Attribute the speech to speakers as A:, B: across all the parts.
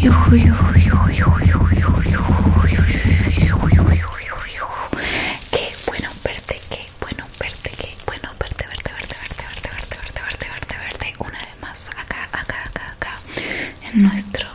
A: Que bueno en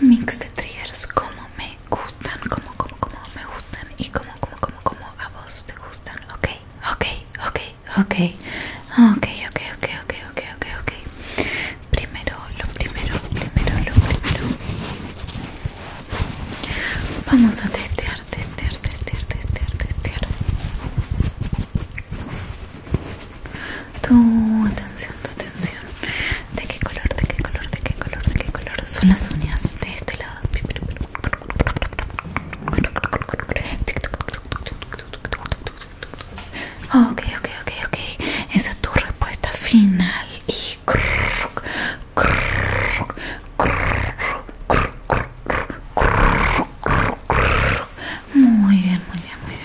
A: mix de triggers como me gustan como como como me gustan y como como como como a vos te gustan ok ok ok ok ok ok ok ok ok ok ok primero lo primero primero lo primero vamos a testear testear testear testear testear tu atención, tu atención. ¿De qué color, de qué color, de qué color, de qué color son las uñas de este lado? Ok, ok, ok, ok. Esa es tu respuesta final. muy bien, muy bien, muy bien,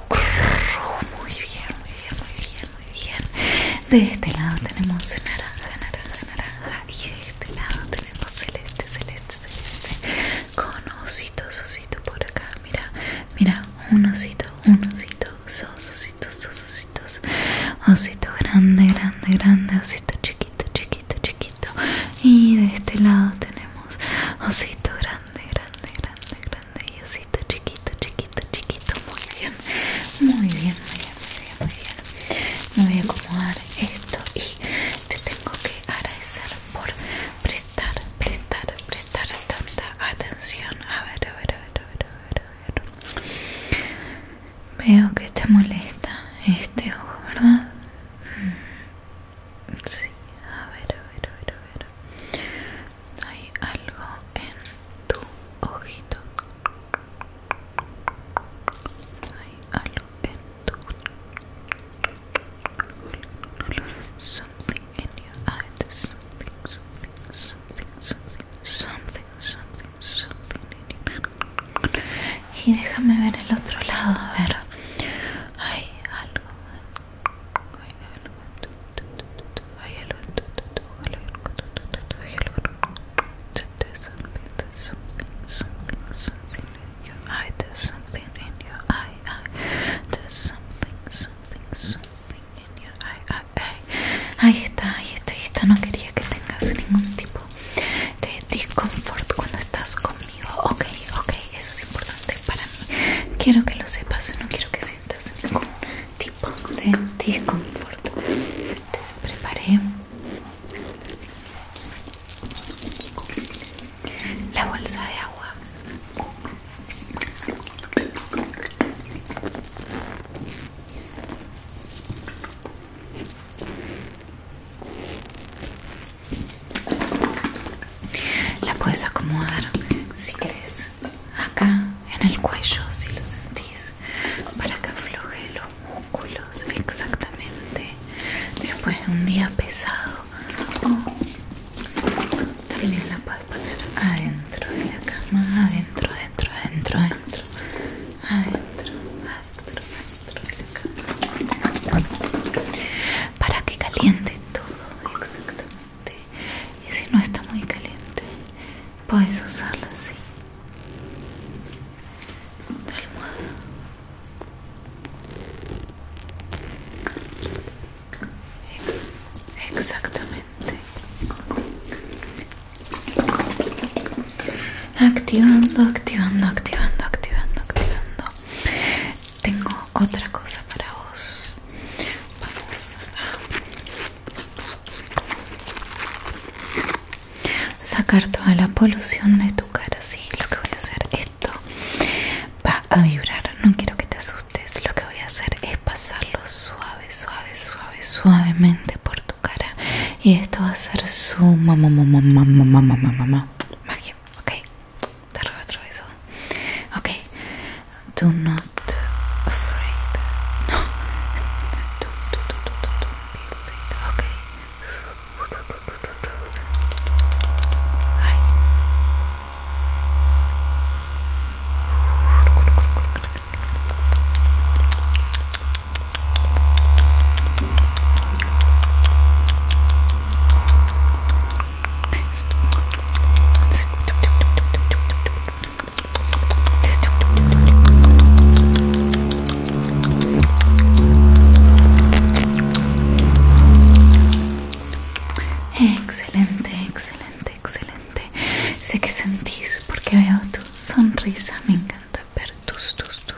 A: Muy bien, muy bien, muy bien, muy bien. De este lado tenemos naranja, naranja, naranja. Y de este lado tenemos celeste, celeste, celeste. Con osito, ositos por acá. Mira, mira, un osito, un osito. Dos ositos, dos ositos. Osito grande, grande, grande. Osito chiquito, chiquito, chiquito. Y de este lado tenemos osito grande grande, grande, grande, grande y osito chiquito, chiquito, chiquito muy bien, muy bien, muy bien, muy bien, muy bien me voy a acomodar esto y te tengo que agradecer por prestar, prestar, prestar tanta atención a ver, a ver, a ver, a ver, a ver, a ver. Veo que te molesta este ojo, ¿verdad? Sí, a ver, a ver, a ver, a ver. Hay algo en tu ojito. Hay algo en tu Something in your eyes. Something, something, something, something, something, something, something in your Y déjame ver el otro lado, a ver. Hay algo en Ahí está, ahí está, ahí está. No quería que tengas ningún tipo de disconfort cuando estás conmigo. Ok, ok, eso es importante para mí. Quiero que lo sepas, no quiero que sientas ningún tipo de desconforto. Te preparé la bolsa de agua. La puedes acomodar si querés acá en el cuello si lo sentís para que afloje los músculos exactamente después de un día pesado oh. también la puedes poner adentro de la cama adentro adentro adentro adentro adentro adentro para que caliente todo exactamente y si no está muy caliente puedes usarlo así almohada exactamente activando activando activando activando activando tengo otra cosa para vos. Vamos a sacar toda la polución de tu cara. Sí, lo que voy a hacer esto va a vibrar. No quiero que te asustes. Lo que voy a hacer es pasarlo suave, suave, suave, suavemente por tu cara. Y esto va a ser su mamá, mamá, mamá, mamá, mamá, mamá, magia. Okay, darle otro beso. Okay, do not afraid. do, do, do, do, do, do be afraid. Okay. Hi. Excelente, excelente, excelente. Sé que sentís porque veo tu sonrisa, me encanta ver tus tus tus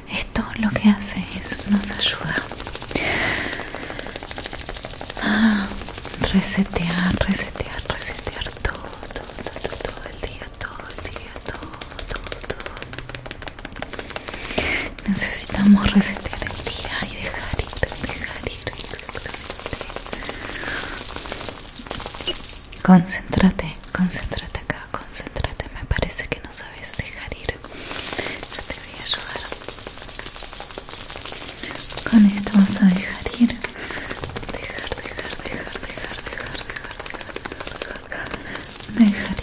A: esto lo que hace es nos ayuda a resetear, resetear, resetear todo, todo, todo, todo el día, todo el día, todo, todo, todo. Necesitamos resetear el día y dejar ir, dejar ir. Dejar ir. Concéntrate, concéntrate acá, concéntrate. Me parece que no sabes dejar ir. Yo te voy a ayudar. Con esto vas a dejar ir. Dejar, dejar, dejar, dejar, dejar, dejar, dejar, dejar,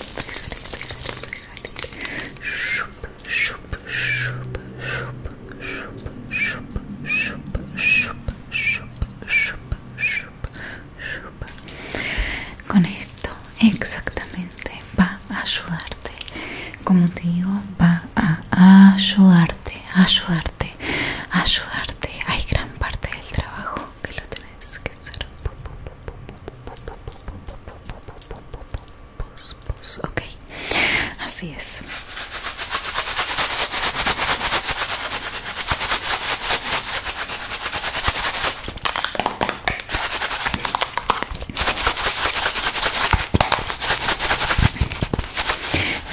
A: dejar, dejar, dejar, dejar, dejar, con esto exactamente va a ayudarte. Como te digo, va a ayudarte, ayudarte, ayudarte. Hay gran parte del trabajo que lo tenés que hacer. Ok, así es.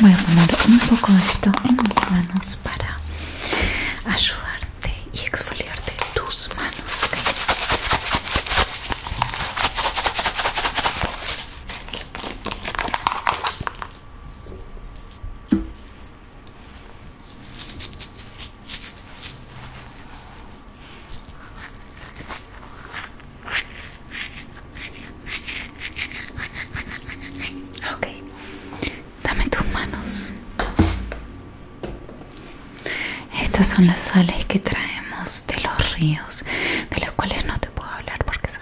A: Voy a poner un poco de esto en mis manos para ayudarte y exfoliarte tus manos. Ok, dame tus manos. Estas son las sales que traemos de los ríos, de las cuales no te puedo hablar porque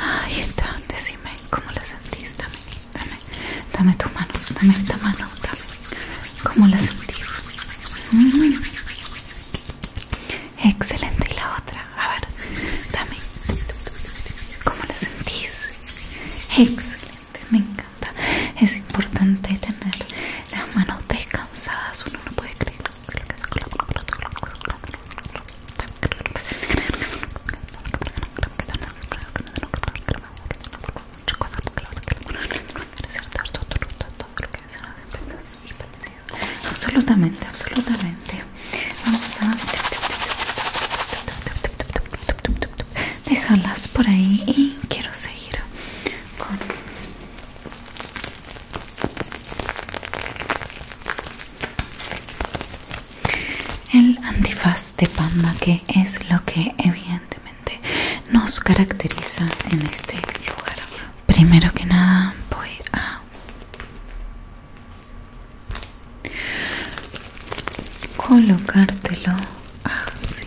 A: Ay, está, decime cómo la sentís, dame, dame, dame tus manos, dame esta mano, dame, cómo la sentís. Excelente, y la otra, a ver, dame, cómo la sentís. Excelente, venga es importante tener las manos descansadas uno no puede creer absolutamente absolutamente vamos a dejarlas por ahí y quiero seguir el antifaz de panda que es lo que evidentemente nos caracteriza en este lugar primero que nada voy a colocártelo así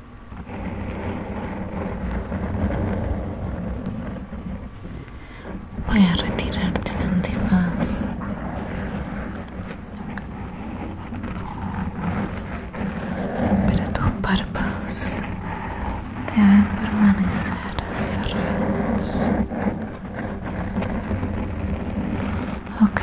A: Voy a retirarte la antifaz. Pero tus párpados deben permanecer cerrados. ¿Ok?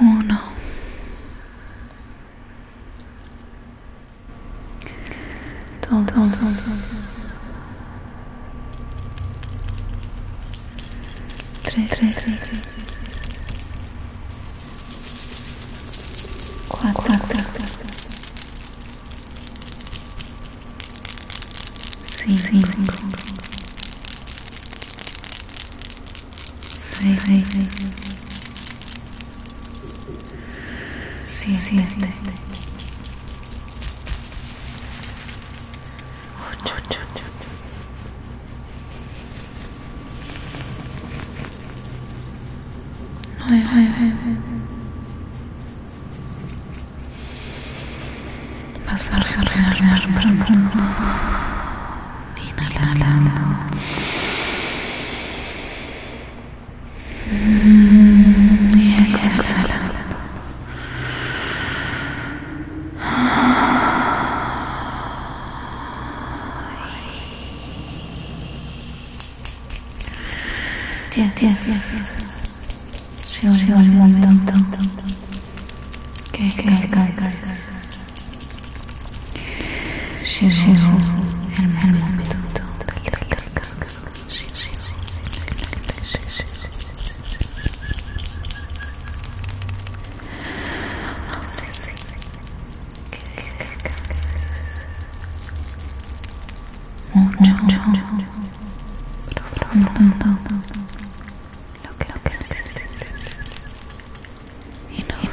A: uno dos tres cuatro cinco, seis, siete, ocho, nueve. Masaje relajando, inhalando. Mm, y exhalando. Yes, Llegó, llegó el momento que descanses. Llegó el momento del descanso. Look at this. He knows. He knows.